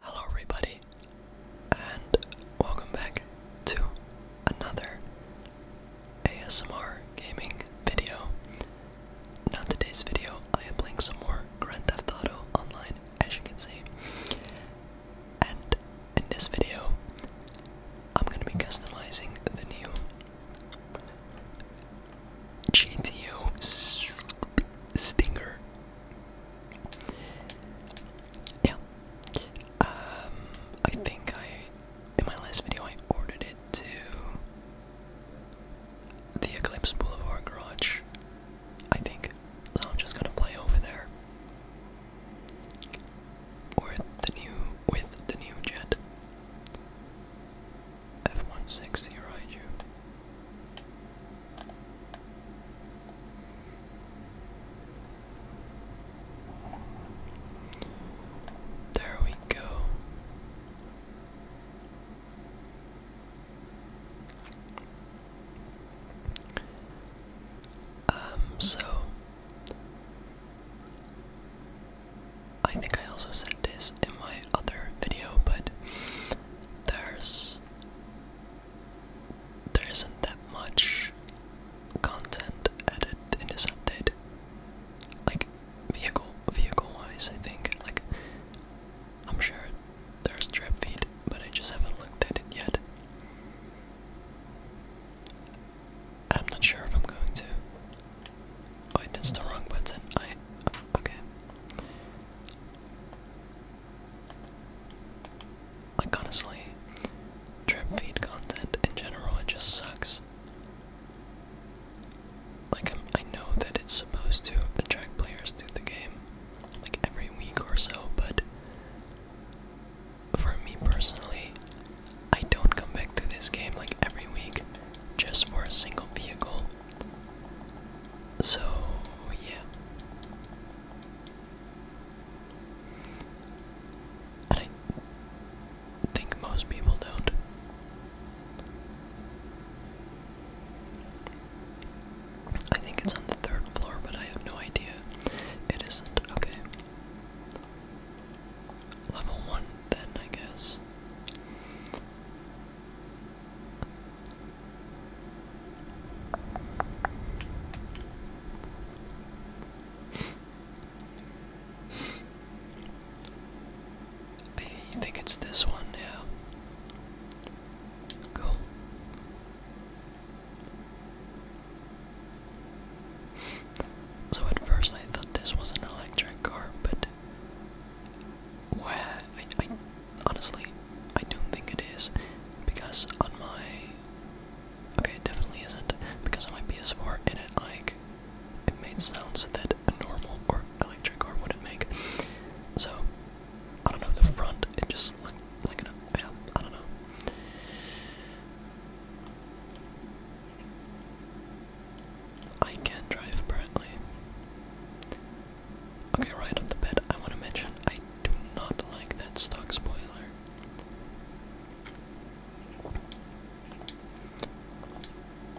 Hello, everybody, and welcome back to another ASMR gaming video. Now, today's video, I am playing some more Grand Theft Auto Online, as you can see. And in this video, I'm gonna be customizing the new GTO Stinger yeah. Um, I think I, in my last video, I ordered it to the Eclipse Boulevard garage. I think. So I'm just gonna fly over there. With the new, with the new jet. F one sixty, right, there we go. Um, so I think I also said this in my other video, but there's there isn't that much content added in this update. Like vehicle vehicle wise I think. Like I'm sure there's trap feed, but I just haven't looked at it yet. I'm not sure if I'm going to. Wait, oh, that's the wrong button. I. Okay. Like honestly, trip feed content in general it just sucks. Like I'm, I know that it's supposed to attract players to the game, like every week or so, but for me personally, I don't come back to this game like every week just for a single vehicle. So yeah. And I think most people don't. I think it's on the third floor, but I have no idea. It isn't. Okay. Level 1, then, I guess. I think it's this one, yeah. Cool. So at first I thought this was an electric car, but Honestly, I don't think it is because on my okay, it definitely isn't because on my PS4 it like it made sounds that a normal or electric or wouldn't make. So I don't know the front. It just looked like an yeah, I don't know. I can drive apparently. Okay, right off the bat, I want to mention I do not like that stock spoiler.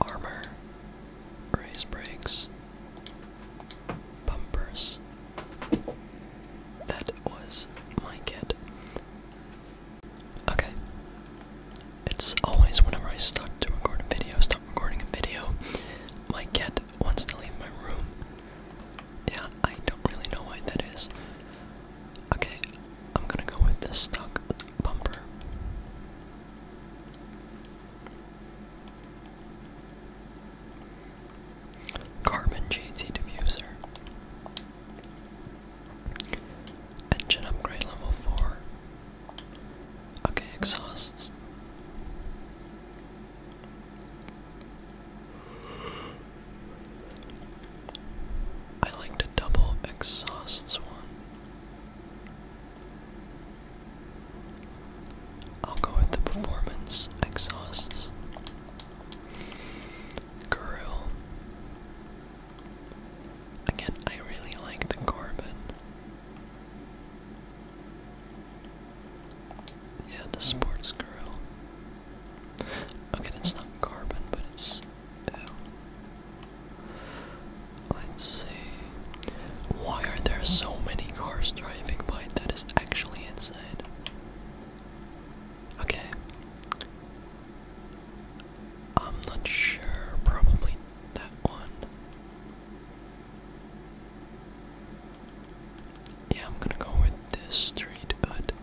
Armor, race brakes, bumpers. That was my kit. Okay. It's always whenever I start to record a video, start recording a video, my kit wants to leave my room. Yeah, I don't really know why that is. Okay, I'm gonna go with the stock bumper. Carbon JT diffuser. Engine upgrade level 4. Okay, exhausts. I like to double exhausts one. I'll go with the performance exhausts. Grill. Again, I really like the Corbin. Yeah, the sports grill. Okay, it's not carbon, but it's. Ew. Let's see. Why are there so many cars driving by? That is actually insane. Okay. I'm not sure. Probably that one. Yeah, I'm gonna go with this street hood.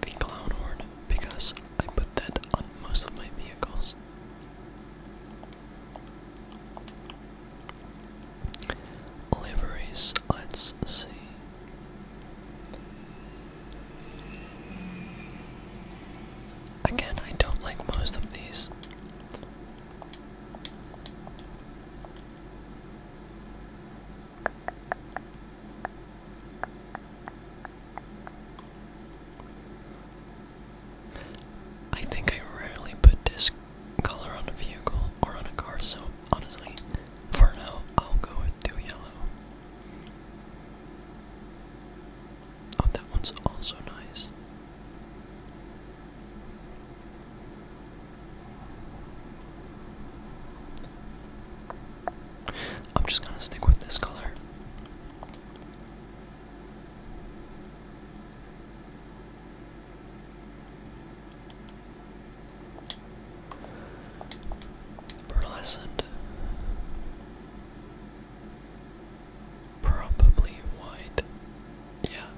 The clown horn, because I put that on most of my vehicles. Liveries, let's see. Again, I don't like most of these. I think I rarely put this color on a vehicle or on a car, so honestly, for now, I'll go with do yellow. Oh, that one's also nice. I'm just gonna stick with this color. Burlescent. Probably white. Yeah.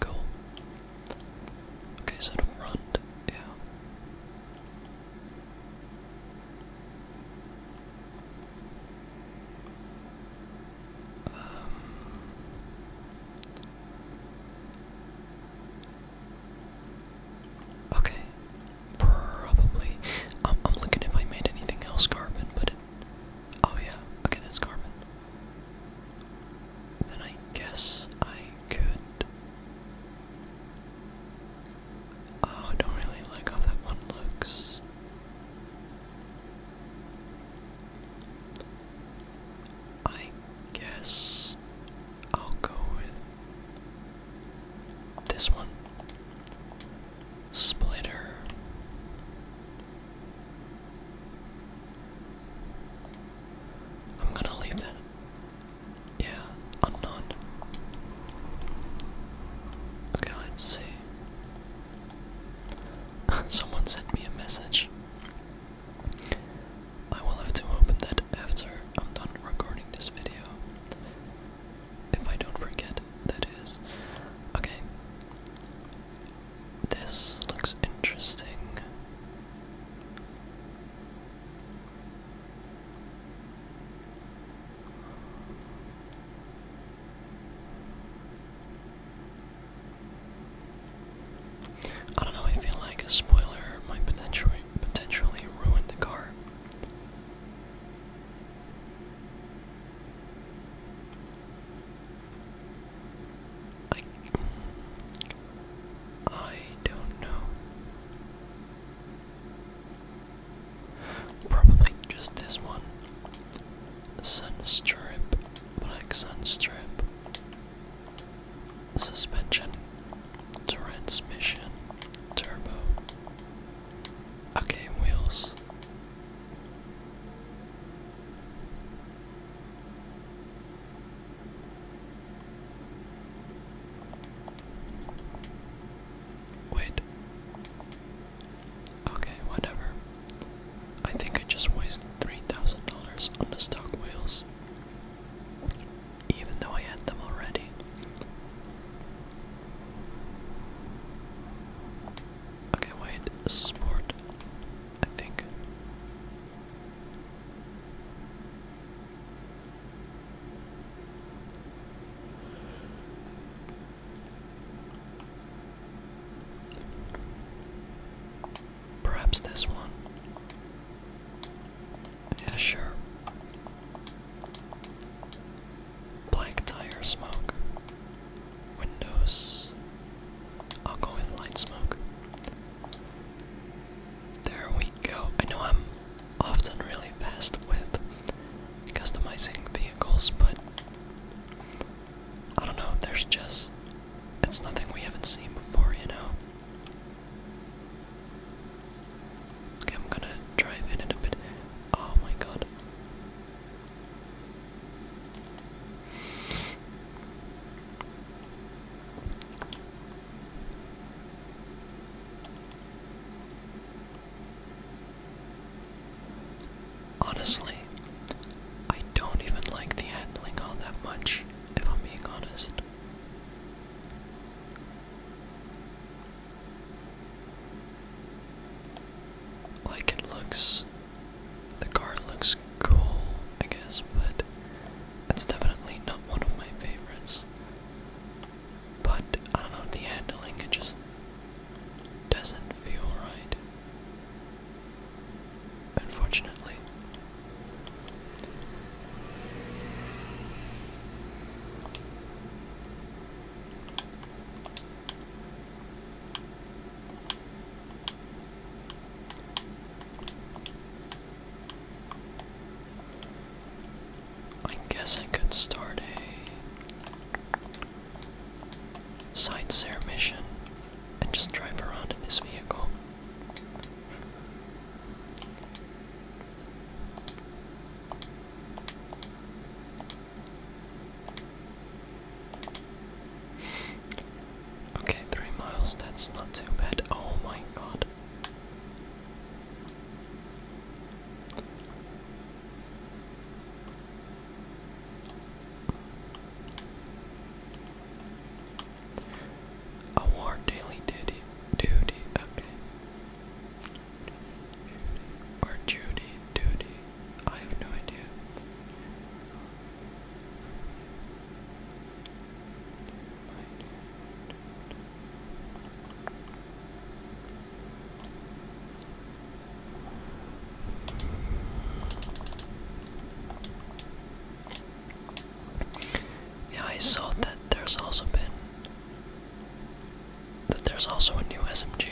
Cool. Okay, so the front, yeah. Um, okay, probably. I'm, looking if I made anything else carbon, but oh yeah, okay, that's carbon. Then I guess I could. Oh, I don't really like how that one looks. I guess I'll go with this one. Splitter. I'm gonna leave that. Yeah, unknown. Okay, let's see. Someone sent me a message. I will have to open that after I'm done recording this video. If I don't forget, that is. Okay. This looks interesting. I don't know, I feel like a spoiler might potentially potentially ruin the car. I I don't know. Probably just this one. Sunstrip. Black sunstrip suspension, transmission, turbo. Okay, wheels. Wait. Okay, whatever. I think I just wasted $3,000 on the stock wheels, even though I had them already. Okay, wait, sport, I think. Perhaps this one. Yeah, sure. Black tire smoke. Windows. I'll go with light smoke. There we go. I know I'm often really fast with customizing vehicles, but I don't know, there's just. It's nothing we haven't seen before, you know? Okay, I'm gonna drive in it a bit. Oh my god. Honestly, I don't even like the handling all that much, if I'm being honest. Like it looks, the car looks cool, I guess, but it's definitely not one of my favorites. But I don't know, the handling, it just doesn't feel right unfortunately. I guess I could start a sightseer mission and just drive around in this vehicle. Okay, three miles, that's not too bad. Oh my god. A war daily duty duty okay. or Judy duty. I have no idea. Yeah, I saw that there's also been that there's also a new SMG,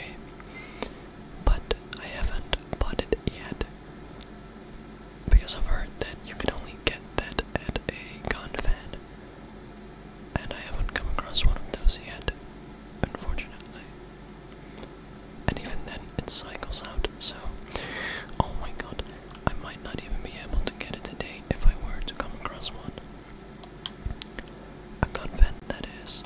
but I haven't bought it yet because I've heard that you can only get that at a gun fan, and I haven't come across one of those yet, unfortunately and even then it cycles out. So, oh my god, I might not even be able to get it today if I were to come across one. A convent, that is.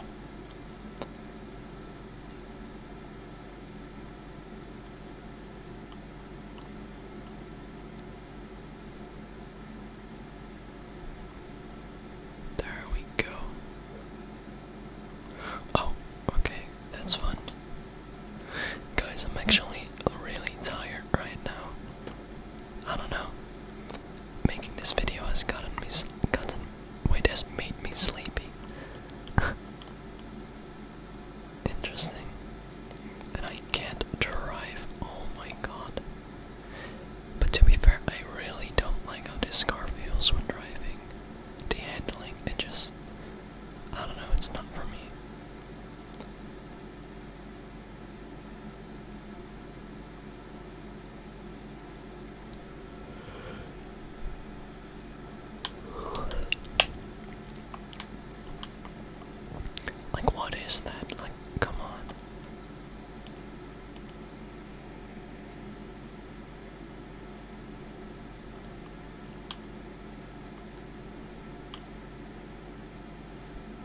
There we go. Oh, okay. That's fun. Guys, I'm actually really tired right now. I don't know. Making this video has gotten me gotten wait has made me sleepy. Interesting. And I can't drive. Oh my god. But to be fair, I really don't like how this car feels when driving. The handling, it just I don't know, it's not for me. Like, what is that? Like, come on.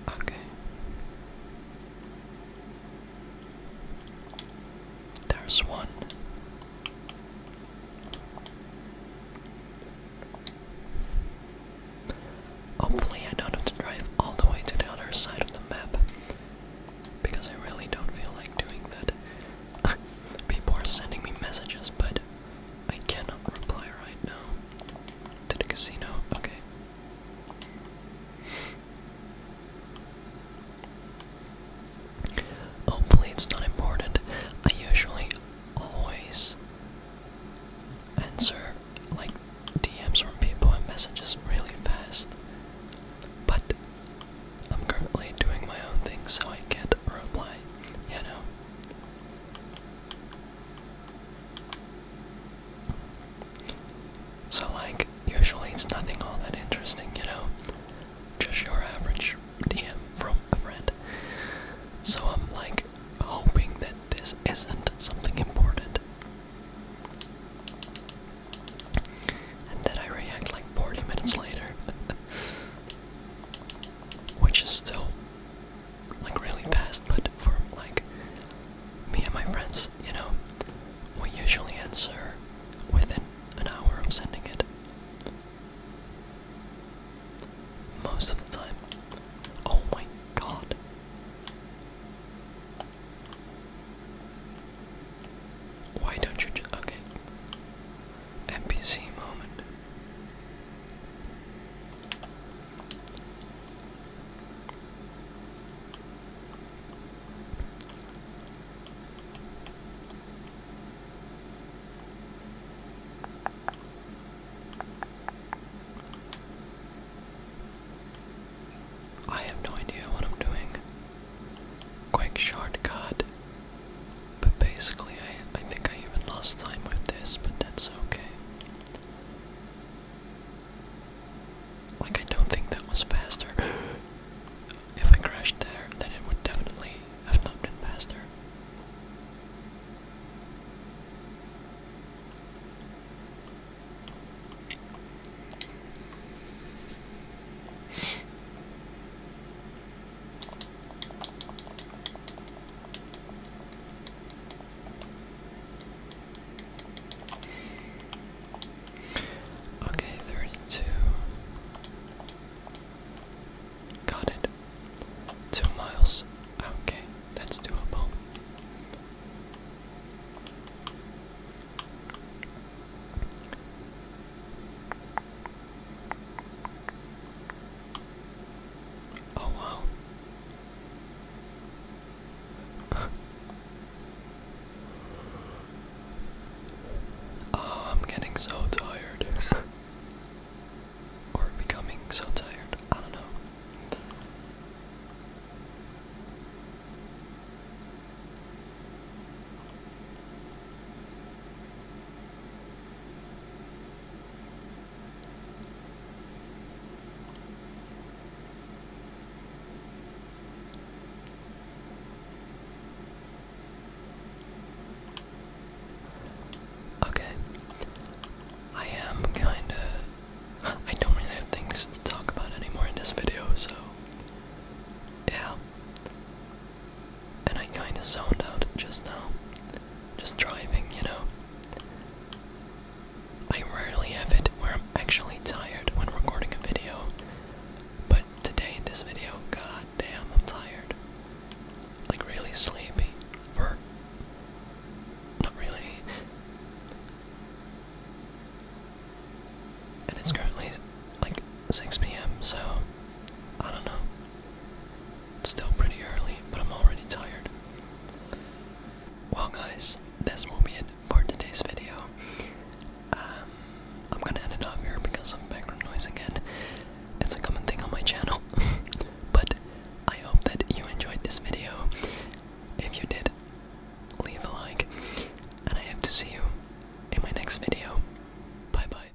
Okay. There's one. Hopefully, I don't have to drive all the way to the other side of the map because I really don't feel like doing that. People are sending me messages, but I cannot reply right now. To the casino, okay. Hopefully, it's not important. I usually always answer like DMs from people and messages really fast, but I'm currently doing my own thing, so I can't reply yeah, no. So, like, usually it's nothing all that interesting, you know? Just your average DM from a friend. So, I'm like hoping that this isn't something important. And then I react like 40 minutes later. which is still like really fast, but for like me and my friends, you know, we usually answer within an hour of sending it. Most of the time. Oh my god. Why don't you just. Okay. Mpc moment. I have no idea what I'm doing. Quick shortcut. But basically, I, I think I even lost time with this, but that's okay. Like, I don't think that was faster. if I crashed there, then it would definitely have not been faster. Okay, 32. Got it. Two miles. Okay, that's doable. Oh wow. oh, I'm getting so tired. or becoming so tired. I don't know. Okay. I am kinda. I don't really have things to talk about anymore in this video, so. Yeah and I kinda zoned out just now. Just driving, you know. I rarely have it where I'm actually tired when recording a video, but today in this video, god damn, I'm tired. Like, really sleepy. For. Not really. And it's currently like 6 pm, so I don't know. It's still pretty early, but I'm already tired. Well, guys, this will be it for today's video. Um, I'm gonna end it off here because of background noise again. It's a common thing on my channel. but I hope that you enjoyed this video. If you did, leave a like. And I hope to see you in my next video. Bye bye.